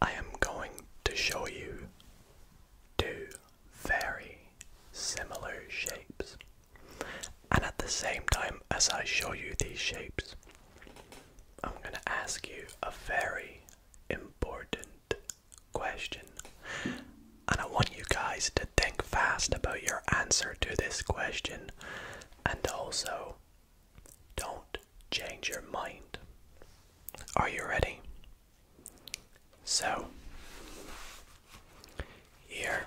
I am going to show you two very similar shapes. And at the same time as I show you these shapes, I'm going to ask you a very important question. And I want you guys to think fast about your answer to this question and also don't change your mind. Are you ready? So, here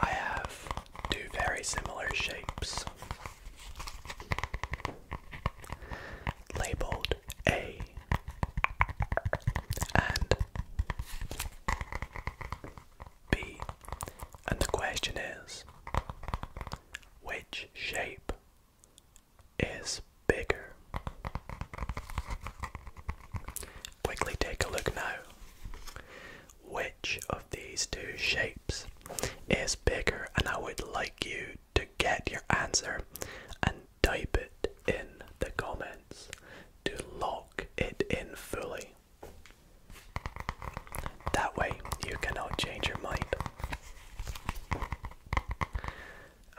I have two very similar shapes labeled A and B. And the question is which shape is bigger? Quickly take a look now. Which of these two shapes is bigger? And I would like you to get your answer and type it in the comments to lock it in fully. That way you cannot change your mind.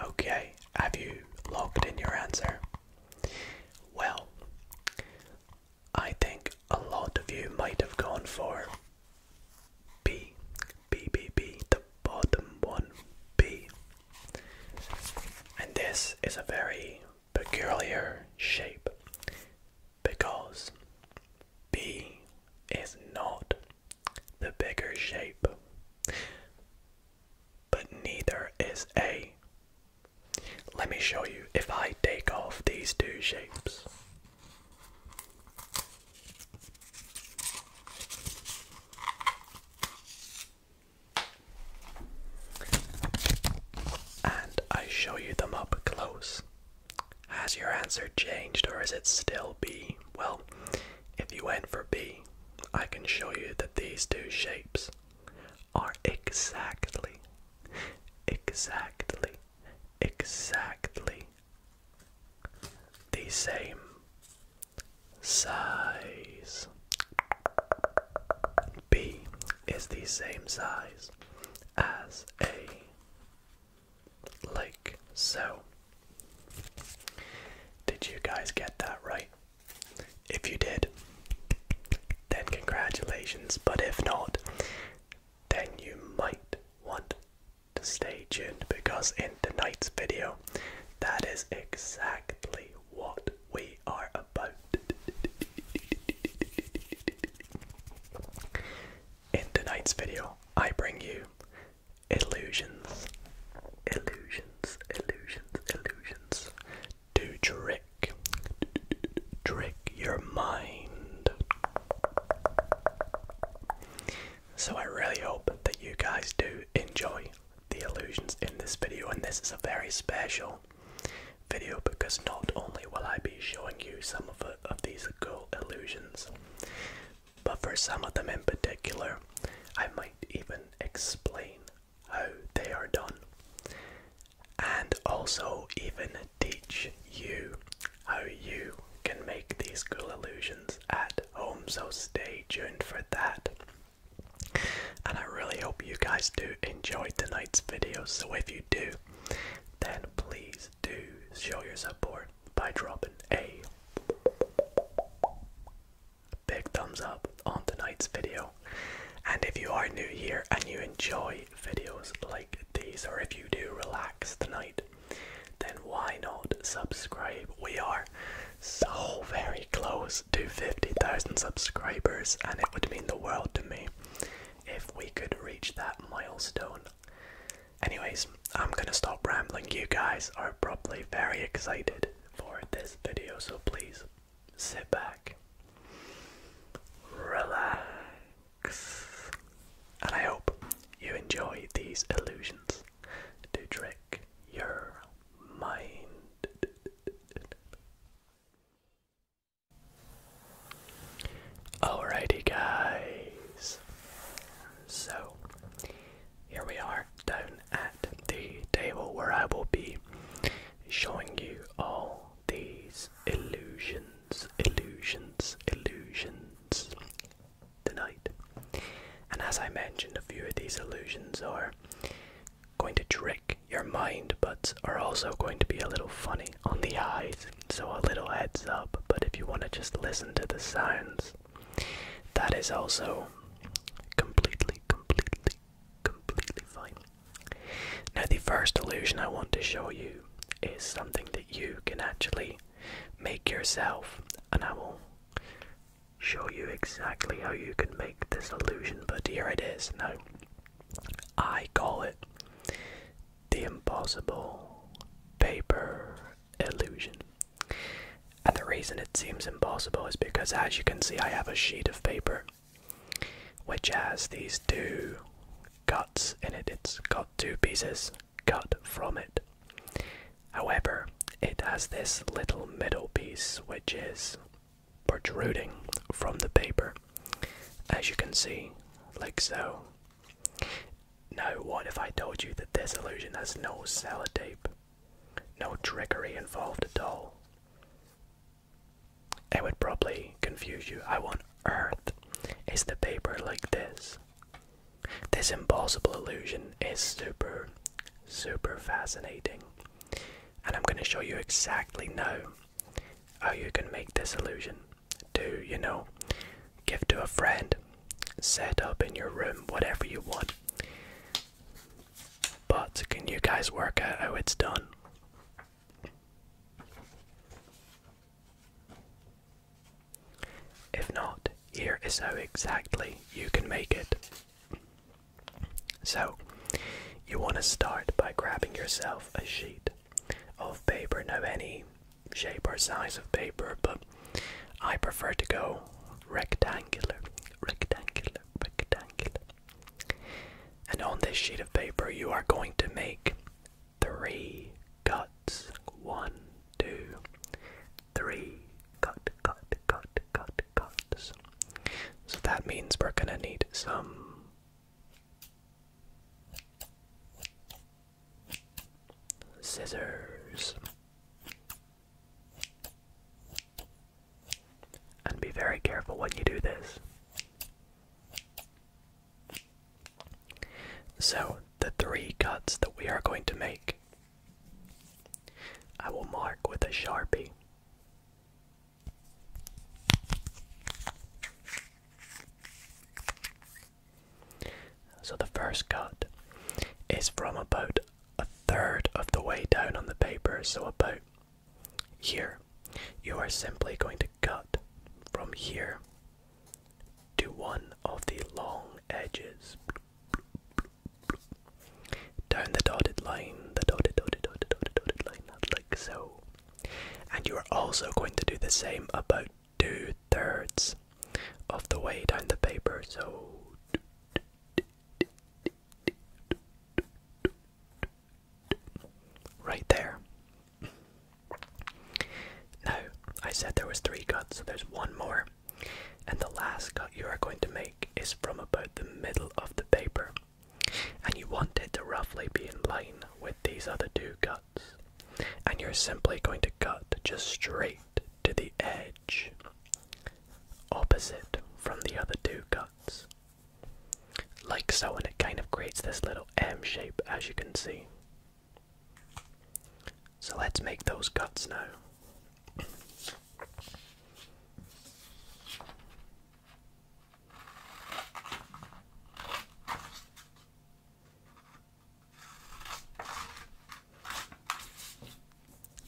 Okay, have you logged in your answer? Well, I think a lot of you might have gone for B, B, B, B, the bottom one, B. And this is a very peculiar shape because B is not the bigger shape, but neither is A. Let me show you if I take off these two shapes. And I show you them up close. Has your answer changed or is it still B? Well, if you went for B, I can show you that these two shapes are exactly, exactly, exactly the same size. B is the same size as A like so. Did you guys get that right? If you did, then congratulations, but if not, then you might want to stay tuned because in tonight's video, that is exactly what we are about in tonight's video, I bring you illusions, illusions, illusions, illusions to trick, trick your mind. So I really hope that you guys do enjoy the illusions in this video, and this is a very special video because not only will I be showing you some of, uh, of these cool illusions, but for some of them in particular, I might even explain how they are done and also even teach you how you can make these cool illusions at home. So stay tuned for that. And I really hope you guys do enjoy tonight's video. So if you do, then please do show your support by dropping a big thumbs up on tonight's video. And if you are new here and you enjoy videos like these, or if you do relax tonight, then why not subscribe? We are so very close to 50,000 subscribers, and it would mean the world to me if we could reach that milestone. Anyways, I'm gonna stop rambling. You guys are probably very excited for this video, so please sit back, relax, and I hope you enjoy these illusions to trick your mind. Alrighty, guys. So, here we are down at the table where I will be showing you all these illusions, illusions, illusions tonight. And as I mentioned, a few of these illusions are going to trick your mind, but are also going to be a little funny on the eyes so a little heads up, but if you want to just listen to the sounds, that is also completely, completely, completely fine. Now, the first illusion I want to show you is something that you can actually make yourself, and I will show you exactly how you can make this illusion, but here it is. Now, I call it the impossible paper illusion. And the reason it seems impossible is because, as you can see, I have a sheet of paper which has these two cuts in it. It's got two pieces cut from it. However, it has this little middle piece which is protruding from the paper as you can see, like so. Now, what if I told you that this illusion has no sellotape, no trickery involved at all? It would probably confuse you. How on earth is the paper like this? This impossible illusion is super, super fascinating. And I'm going to show you exactly now how you can make this illusion to, you know, give to a friend, set up in your room, whatever you want. But can you guys work out how it's done? If not, here is how exactly you can make it. So, you want to start by grabbing yourself a sheet of paper, no any shape or size of paper, but I prefer to go rectangular, rectangular, rectangular. And on this sheet of paper, you are going to make three cuts. One, two, three. Cut, cut, cut, cut, cuts. So that means we're gonna need some Scissors. And be very careful when you do this. So, the three cuts that we are going to make, I will mark with a sharpie. So the first cut is from about a third of the way down on the paper, so about here. You are simply going to cut from here to one of the long edges. Down the dotted line, the dotted, dotted, dotted, dotted, dotted line, like so. And you are also going to do the same about two thirds of the way down the paper. So. Right there. Now, I said there was three cuts, so there's one more. And the last cut you are going to make is from about the middle of the paper and you want it to roughly be in line with these other two cuts. And you're simply going to cut just straight to the edge, opposite from the other two cuts. Like so, and it kind of creates this little M shape as you can see. So let's make those cuts now.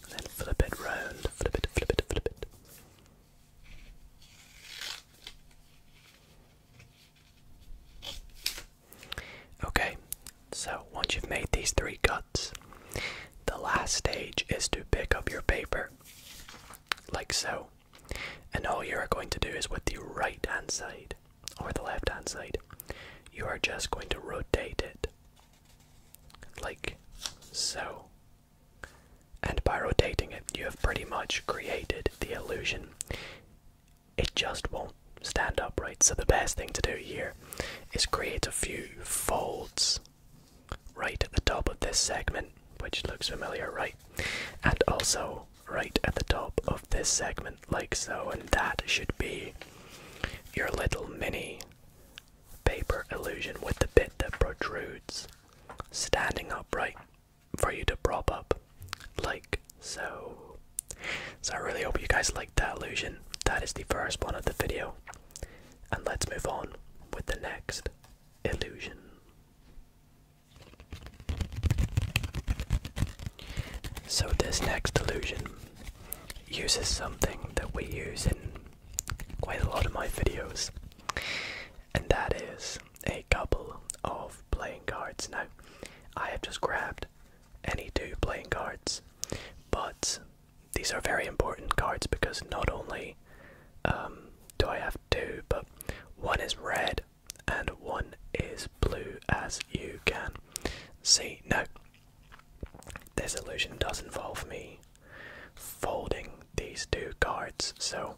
Then flip it round, flip it, flip it, flip it. Okay, so once you've made these three cuts, the last stage is to pick up your paper like so and all you are going to do is with the right hand side or the left hand side, you are just going to rotate it like so. And by rotating it, you have pretty much created the illusion. It just won't stand upright. So, the best thing to do here is create a few folds right at the top of this segment, which looks familiar, right? And also right at the top of this segment, like so, and that should be your little mini paper illusion with the bit that protrudes standing upright for you to prop up, like so. So, I really hope you guys liked that illusion. That is the first one of the video, and let's move on with the next illusion. So, this next illusion uses something that we use in quite a lot of my videos, and that is a couple of playing cards. Now, I have just grabbed any two playing cards, but these are very important cards because not only um, do I have two, but one is red and one is blue as you can see. No, this illusion does involve me folding these two cards, so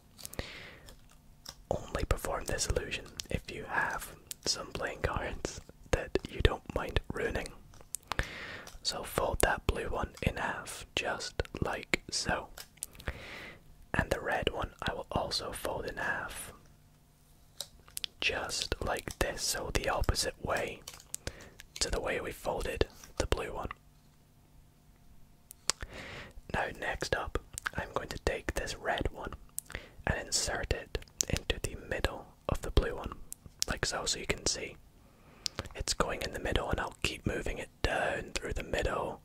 only perform this illusion if you have some playing cards that you don't mind ruining. So fold that blue one in half, just like so. And the red one I will also fold in half. Just like this, so the opposite way to the way we folded the blue one. Now, next up, I'm going to take this red one and insert it into the middle of the blue one, like so, so you can see it's going in the middle, and I'll keep moving it down through the middle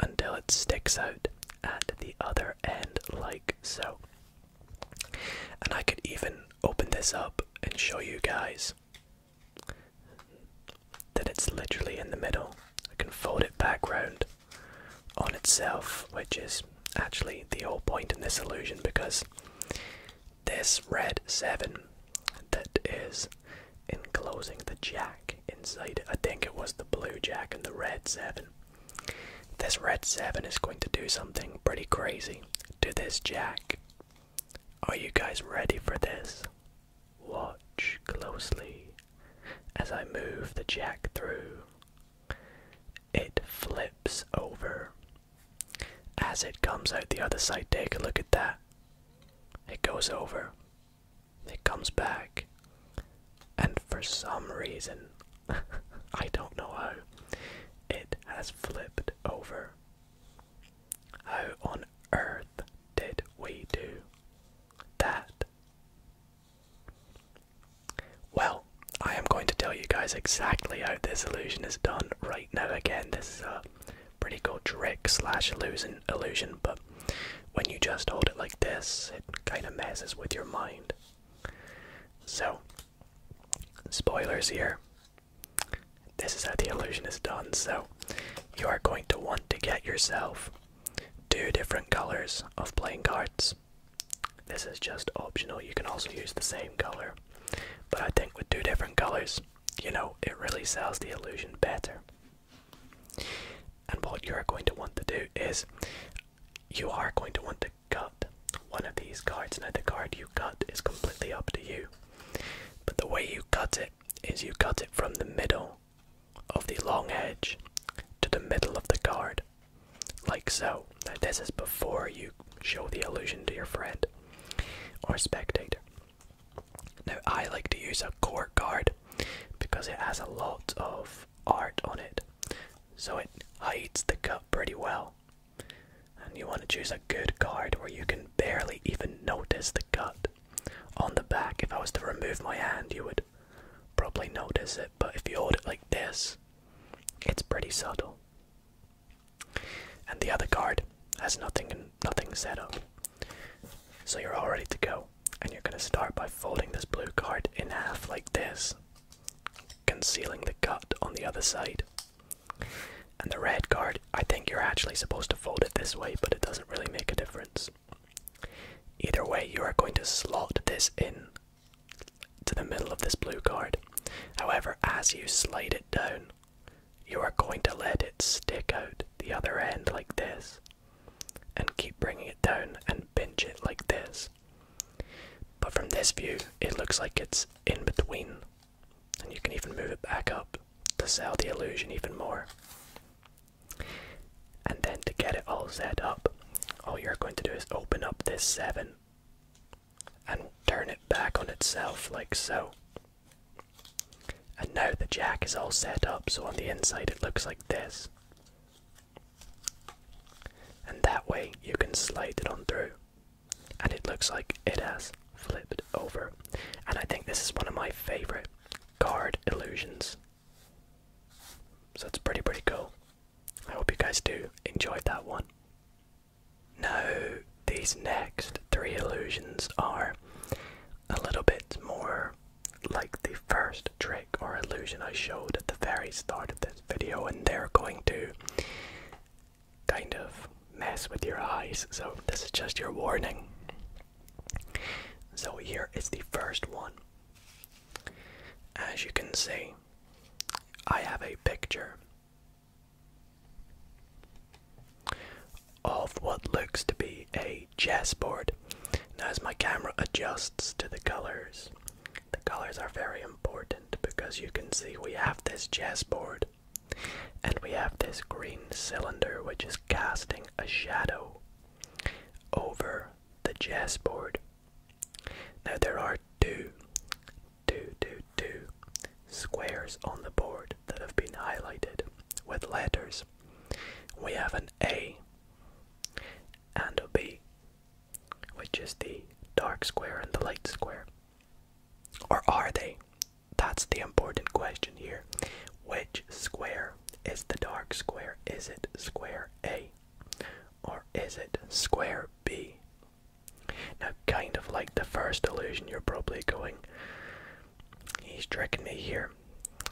until it sticks out at the other end, like so. And I could even open this up and show you guys that it's literally in the middle. I can fold it back round on itself, which is actually the whole point in this illusion because this red 7 that is enclosing the jack inside. I think it was the blue jack and the red 7. This red 7 is going to do something pretty crazy to this jack. Are you guys ready for this? Watch closely as I move the jack through. It flips over. As it comes out the other side, take a look at that. It goes over. It comes back, and for some reason, I don't know how, it has flipped over. How on earth did we do that? Well, I am going to tell you guys exactly how this illusion is done right now. Again, this is a pretty cool trick slash illusion, illusion, but when you just hold it like this, it kind of messes with your mind. So, spoilers here. This is how the illusion is done. So, you are going to want to get yourself two different colors of playing cards. This is just optional. You can also use the same color. But I think with two different colors, you know, it really sells the illusion better. And what you're going to want to do is you are going to want to cut one of these cards. Now, the card you cut is completely up to you, but the way you cut it is you cut it from the middle of the long edge to the middle of the card, like so. Now, this is before you show the illusion to your friend or spectator. Now, I like to use a court card because it has a lot of art on it, so it hides the cut pretty well. And you want to choose a good card where you can barely even notice the cut. On the back, if I was to remove my hand, you would probably notice it, but if you hold it like this, it's pretty subtle. And the other card has nothing nothing set up. So you're all ready to go and you're gonna start by folding this blue card in half like this, concealing the cut on the other side. And the red card, I think you're actually supposed to fold it this way, but it doesn't really make a difference. Either way, you are going to slot this in to the middle of this blue card. However, as you slide it down, you are going to let it stick out the other end like this and keep bringing it down and pinch it like this. But from this view, it looks like it's in between, and you can even move it back up to sell the illusion even more. And then to get it all set up, all you're going to do is open up this 7 and turn it back on itself like so. And now the jack is all set up so on the inside it looks like this. And that way you can slide it on through. And it looks like it has flipped over. And I think this is one of my favorite card illusions. So it's pretty, pretty cool. I hope you guys do enjoy that one. Now, these next three illusions are a little bit more like the first trick or illusion I showed at the very start of this video, and they're going to kind of mess with your eyes. So, this is just your warning. So, here is the first one. As you can see, I have a picture of what looks to be a chessboard. Now, as my camera adjusts to the colors, the colors are very important because you can see we have this chessboard and we have this green cylinder which is casting a shadow over the chessboard. Now, there are two, two, two, two squares on the board that have been highlighted with letters. We have an A and a B, which is the dark square and the light square. Or are they? That's the important question here. Which square is the dark square? Is it square A or is it square B? Now, kind of like the first illusion, you're probably going, He's tricking me here.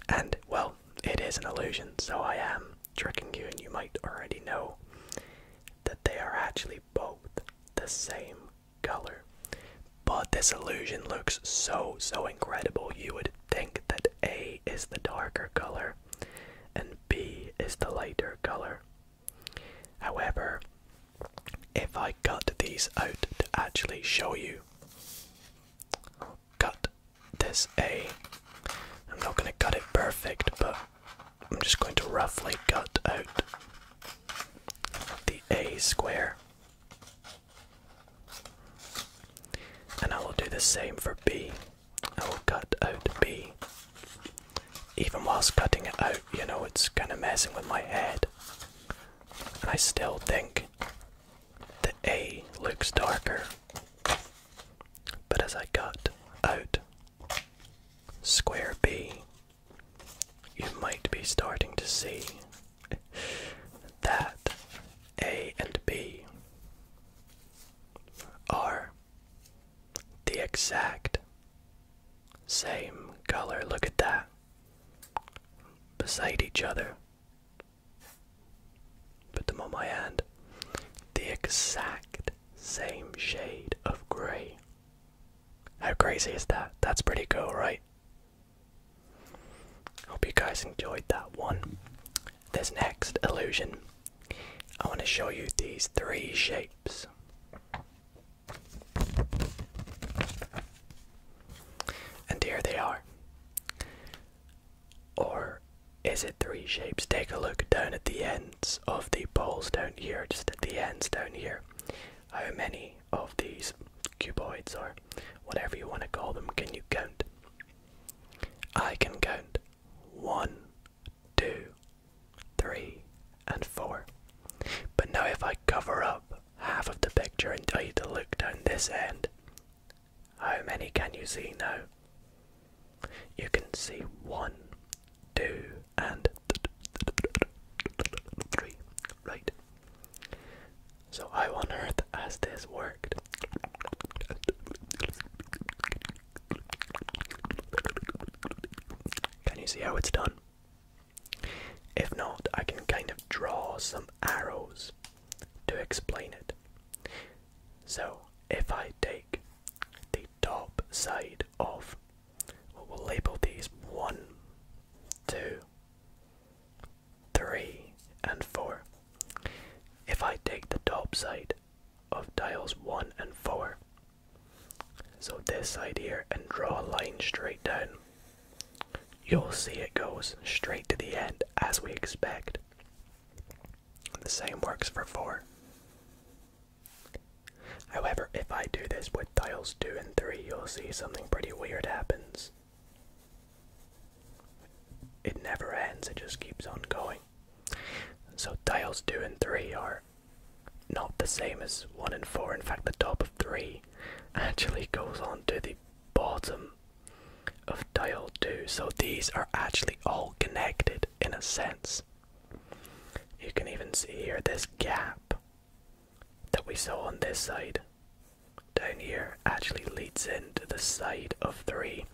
And, well, it is an illusion, so I am tricking you, and you might already know that they are actually both the same color. But this illusion looks so, so incredible. You would think that A is the darker color and B is the lighter color. However, if I cut these out to actually show you cut this A. I'm not going to cut it perfect, but I'm just going to roughly cut out the A square. And I will do the same for B. I will cut out B. Even whilst cutting it out, you know, it's kind of messing with my head. And I still think the A looks darker, but as I cut out square B, you might be starting to see that A and B are the exact same color. Look at that. Beside each other. Put them on my hand. The exact same shade of grey. How crazy is that? That's pretty cool, right? Hope you guys enjoyed that one. This next illusion, I want to show you these three shapes. And here they are. Or is it three shapes? Take a look down at the ends of the poles down here, just at the ends down here. How many of these cuboids, or whatever you want to call them, can you count? I can count one, two, three, and four. But now, if I cover up half of the picture and tell you to look down this end. How many can you see now? You can see one, two, and three. Right. So, how on earth has this worked? Can you see how it's done? If not, I can kind of draw some arrows to explain it. So, if I take the top side of, well, we'll label these one, two, three, and four. If I take the top side of dials one and four, so this side here, and draw a line straight down, You'll see it goes straight to the end as we expect. The same works for 4. However, if I do this with tiles 2 and 3, you'll see something pretty weird happens. It never ends, it just keeps on going. So tiles 2 and 3 are not the same as 1 and 4. In fact, the top of 3 actually goes on to the bottom of dial 2. So these are actually all connected in a sense. You can even see here this gap that we saw on this side down here actually leads into the side of 3.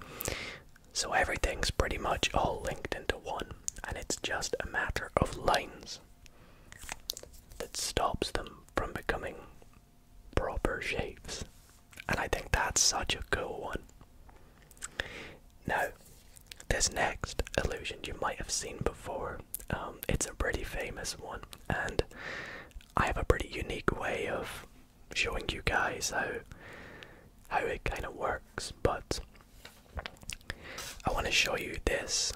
So everything's pretty much all linked into one, and it's just a matter of lines that stops them from becoming proper shapes. And I think that's such a cool one. Now, this next illusion you might have seen before. Um, it's a pretty famous one, and I have a pretty unique way of showing you guys how how it kind of works. But I want to show you this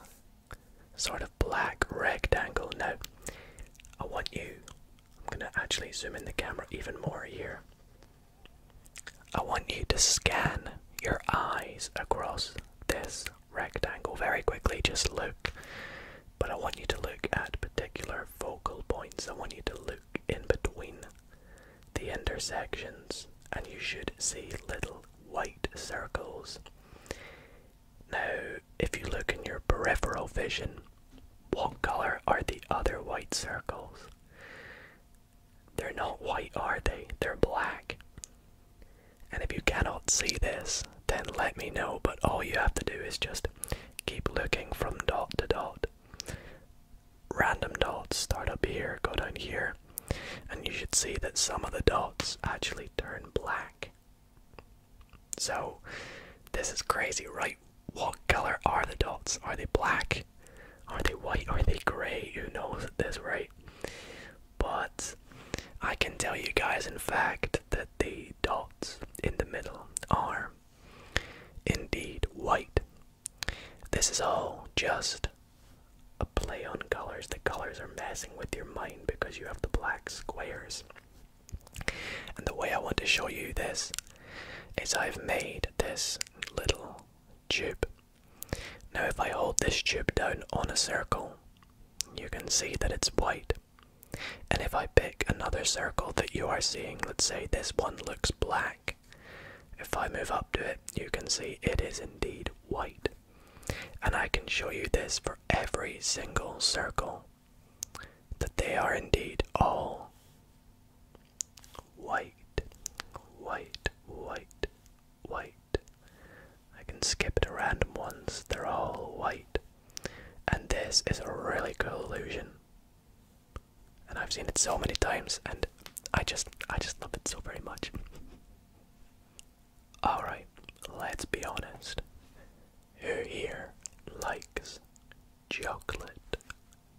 sort of black rectangle. Now, I want you, I'm going to actually zoom in the camera even more here. I want you to scan your eyes across this rectangle very quickly. Just look, but I want you to look at particular focal points. I want you to look in between the intersections, and you should see little white circles. Now, if you look in your peripheral vision, what color are the other white circles? They're not white, are they? They're black. And if you cannot see this, then let me know, but all you have to do is just keep looking from dot to dot. Random dots start up here, go down here, and you should see that some of the dots actually turn black. So, this is crazy, right? What color are the dots? Are they black? Are they white? Are they grey? Who knows at this rate? But I can tell you guys, in fact, that the dots in the middle are indeed white. This is all just a play on colors. The colors are messing with your mind because you have the black squares and the way I want to show you this is I've made this little tube. Now, if I hold this tube down on a circle, you can see that it's white. And if I pick another circle that you are seeing, let's say this one looks black. If I move up to it, you can see it is indeed white. And I can show you this for every single circle that they are indeed all white, white, white, white. I can skip the random ones, they're all white. And this is a really cool illusion. And I've seen it so many times and I just I just love it so very much. Alright, let's be honest. Who here likes chocolate?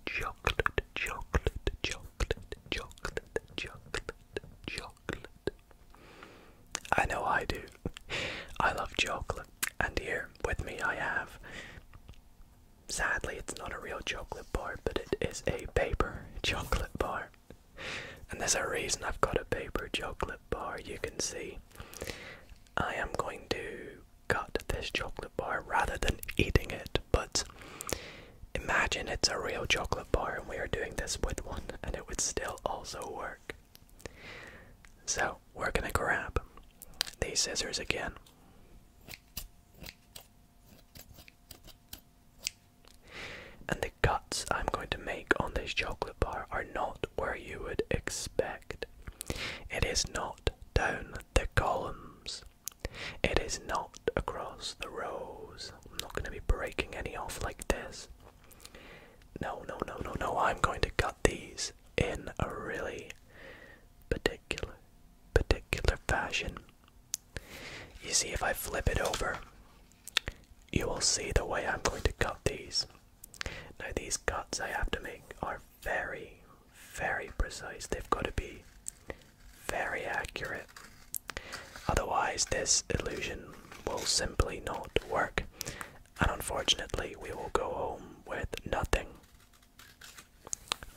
Chocolate, chocolate, chocolate, chocolate, chocolate, chocolate. I know I do. I love chocolate. And here with me I have. Sadly, it's not a real chocolate bar, but it is a paper chocolate bar and there's a reason I've got a paper chocolate bar, you can see. I am going to cut this chocolate bar rather than eating it, but imagine it's a real chocolate bar and we are doing this with one, and it would still also work. So, we're gonna grab these scissors again and the cuts I'm going to make on this chocolate bar are not where you would expect. It is not down the columns. It is not across the rows. I'm not going to be breaking any off like this. No, no, no, no, no. I'm going to cut these in a really particular, particular fashion. You see, if I flip it over, you will see the way I'm going to cut these. Now, these cuts I have to make are very, very precise. They've got to be very accurate. Otherwise, this illusion will simply not work, and unfortunately, we will go home with nothing.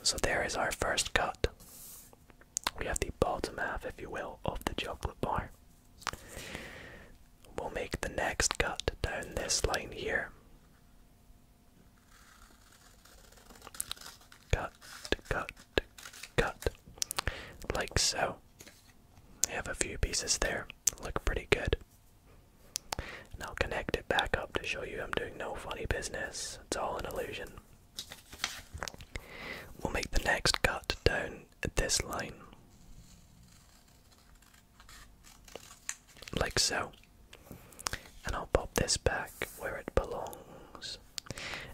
So, there is our first cut. We have the bottom half, if you will, of the chocolate bar. We'll make the next cut down this line here. Cut, cut, cut. Like so. I have a few pieces there. Look pretty good. And I'll connect it back up to show you I'm doing no funny business. It's all an illusion. We'll make the next cut down in this line. Like so. And I'll pop this back where it belongs.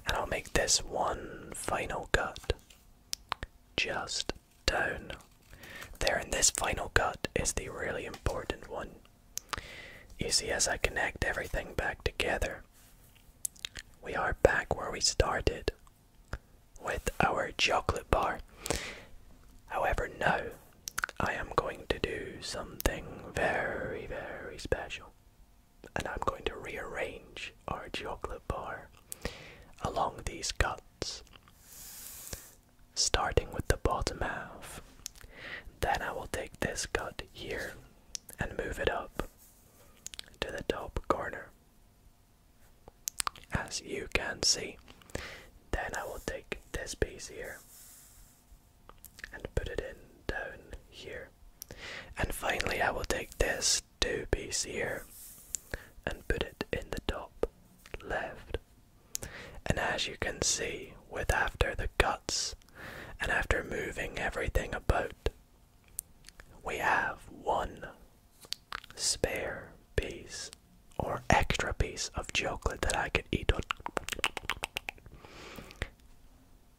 And I'll make this one final cut. Just down. There, and this final cut is the really important one. You see, as I connect everything back together, we are back where we started with our chocolate bar. However, now I am going to do something very, very special. And I'm going to rearrange our chocolate bar along these cuts, starting with the bottom half. Then I will take this cut here and move it up to the top corner as you can see. Then I will take this piece here and put it in down here. And finally, I will take this two piece here and put it in the top left. And as you can see, with after the guts and after moving everything about, we have won spare piece or extra piece of chocolate that I could eat on.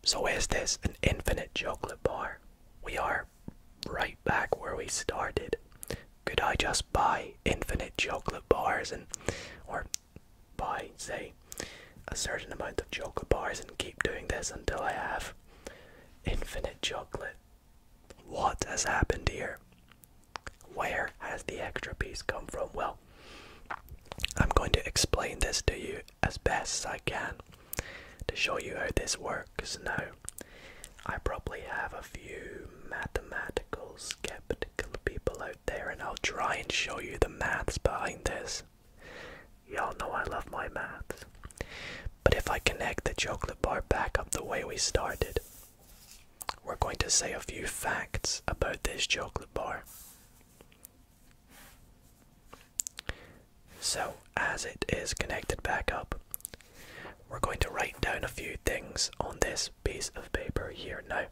So, is this an infinite chocolate bar? We are right back where we started. Could I just buy infinite chocolate bars and, or buy, say, a certain amount of chocolate bars and keep doing this until I have infinite chocolate? What has happened here? Where has the extra piece come from? Well, I'm going to explain this to you as best as I can to show you how this works. Now, I probably have a few mathematical skeptical people out there, and I'll try and show you the maths behind this. Y'all know I love my maths. But if I connect the chocolate bar back up the way we started, we're going to say a few facts about this chocolate bar. So, as it is connected back up, we're going to write down a few things on this piece of paper here now.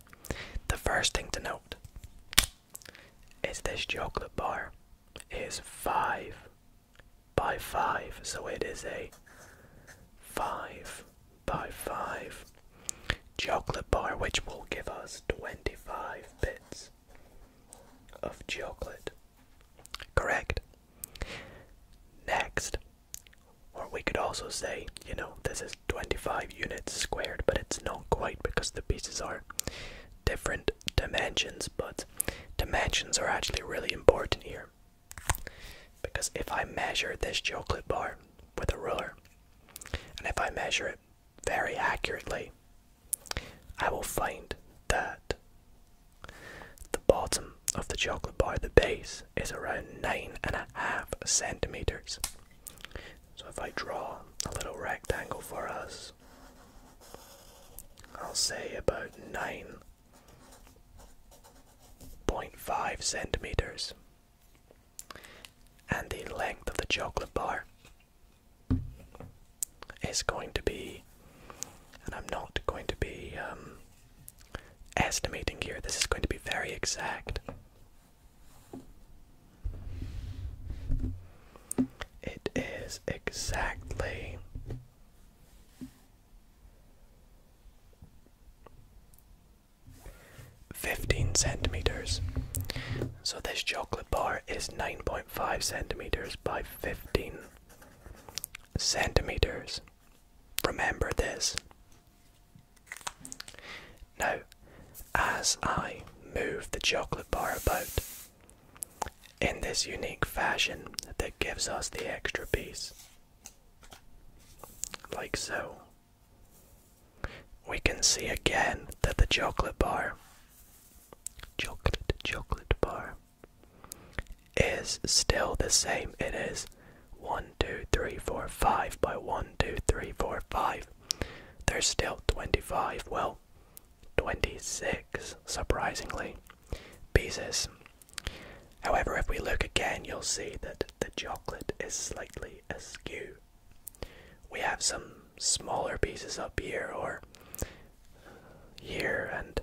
The first thing to note is this chocolate bar is five by 5. So it is a 5 by 5 chocolate bar, which will give us 25 bits of chocolate. Correct. Next, or we could also say, you know, this is 25 units squared, but it's not quite because the pieces are different dimensions, but dimensions are actually really important here. Because if I measure this chocolate bar with a ruler, and if I measure it very accurately, I will find that the bottom of the chocolate bar, the base, is around nine and a half centimeters. So if I draw a little rectangle for us, I'll say about 9.5 centimeters. And the length of the chocolate bar is going to be, and I'm not going to be um, estimating here, this is going to be very exact. It is exactly 15 centimeters. So this chocolate bar is 9.5 centimeters by 15 centimeters. Remember this. Now, as I move the chocolate bar about, in this unique fashion that gives us the extra piece. Like so. We can see again that the chocolate bar, chocolate, chocolate bar, is still the same. It is 1, 2, 3, 4, 5 by 1, 2, 3, 4, 5. There's still 25. Well, 26, surprisingly, pieces. However, if we look again, you'll see that the chocolate is slightly askew. We have some smaller pieces up here or here, and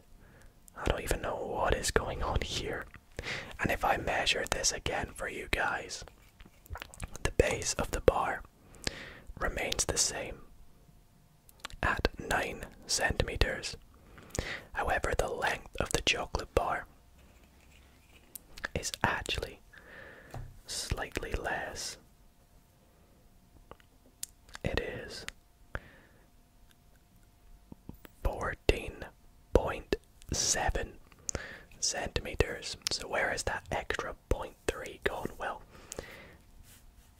I don't even know what is going on here. And if I measure this again for you guys, the base of the bar remains the same at 9 centimeters. However, the length of the chocolate bar is actually slightly less. It is 14.7 centimeters. So, where is that extra 0.3 gone? Well,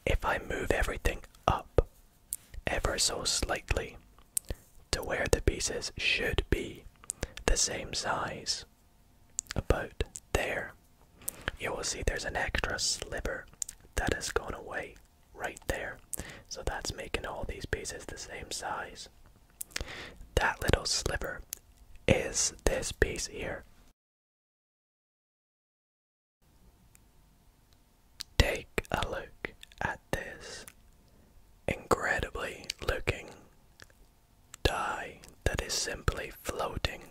if I move everything up ever so slightly to where the pieces should be the same size, about there, you will see there's an extra sliver that has gone away right there. So that's making all these pieces the same size. That little sliver is this piece here Take a look at this incredibly looking die that is simply floating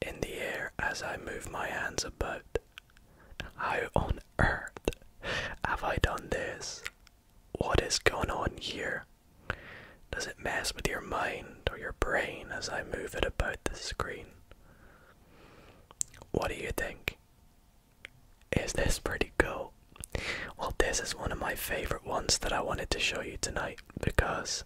in the air as I move my hands about. How on earth have I done this? What is going on here? Does it mess with your mind or your brain as I move it about the screen? What do you think? Is this pretty cool? Well, this is one of my favorite ones that I wanted to show you tonight because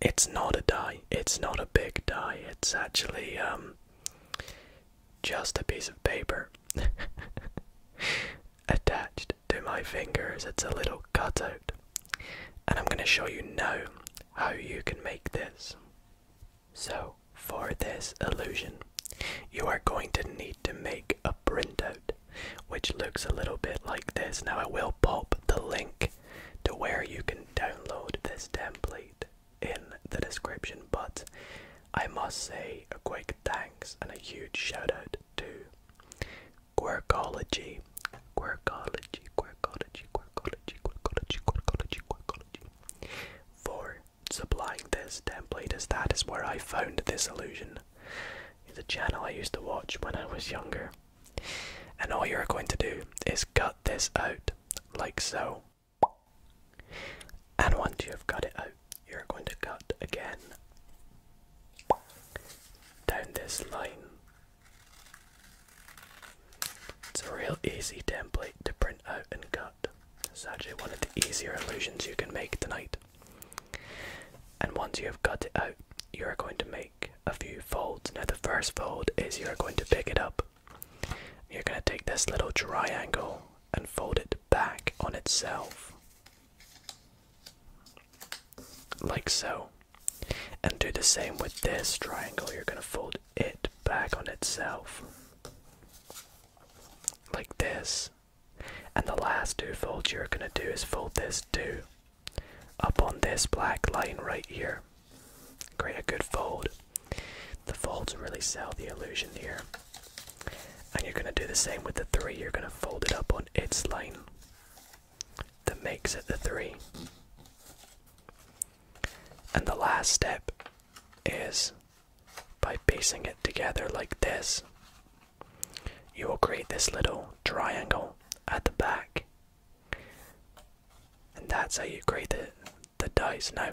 it's not a die, it's not a big die, it's actually um, just a piece of paper attached to my fingers. It's a little cutout, and I'm going to show you now how you can make this. So, for this illusion, you are going to need to make a printout, which looks a little bit like this. Now, I will pop the link to where you can download this template in the description, but I must say a quick thanks and a huge shout out to Quirkology Quirkology, quirkology, quirkology, quirkology, quirkology, quirkology. For supplying this template, is that is where I found this illusion. It's a channel I used to watch when I was younger. And all you're going to do is cut this out, like so. And once you've cut it out, you're going to cut again down this line it's a real easy template to print out and cut. It's actually one of the easier illusions you can make tonight. And once you have cut it out, you are going to make a few folds. Now, the first fold is you are going to pick it up. You're going to take this little triangle and fold it back on itself like so. And do the same with this triangle. You're going to fold it back on itself, like this. And the last two folds you're going to do is fold this too, up on this black line right here. Create a good fold. The folds really sell the illusion here. And you're going to do the same with the three. You're going to fold it up on its line that makes it the three. And the last step is by piecing it together like this, you will create this little triangle at the back. And that's how you create the, the dice. Now,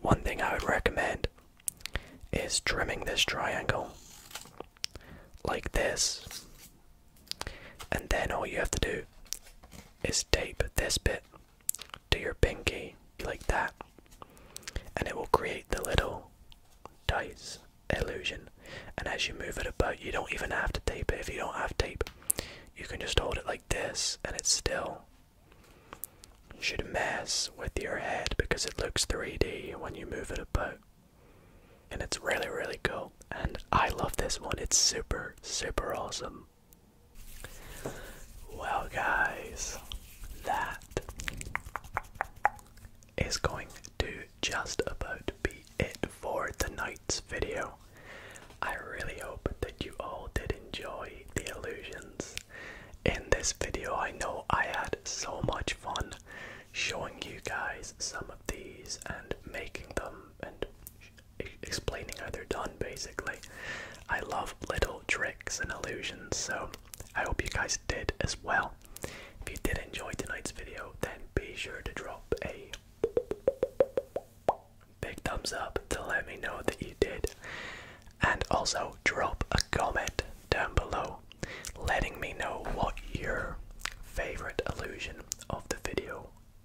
one thing I would recommend is trimming this triangle like this and then all you have to do is tape this bit to your pinky like that, and it will create the little dice illusion. And as you move it about, you don't even have to tape it. If you don't have tape, you can just hold it like this, and it still should mess with your head because it looks 3D when you move it about and it's really really cool and i love this one it's super super awesome well guys that is going to just about be it for tonight's video i really hope that you all did enjoy the illusions in this video i know i had so much fun showing you guys some of these and making them and explaining how they're done basically. I love little tricks and illusions, so I hope you guys did as well. If you did enjoy tonight's video, then be sure to drop a big thumbs up to let me know that you did. And also drop a comment down below letting me know what your favorite illusion of the video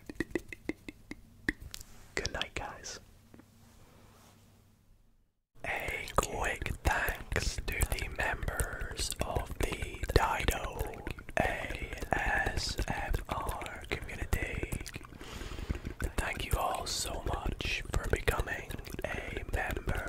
Good night, guys. A quick thanks to the members of the Dido ASMR community. Thank you all so much for becoming a member.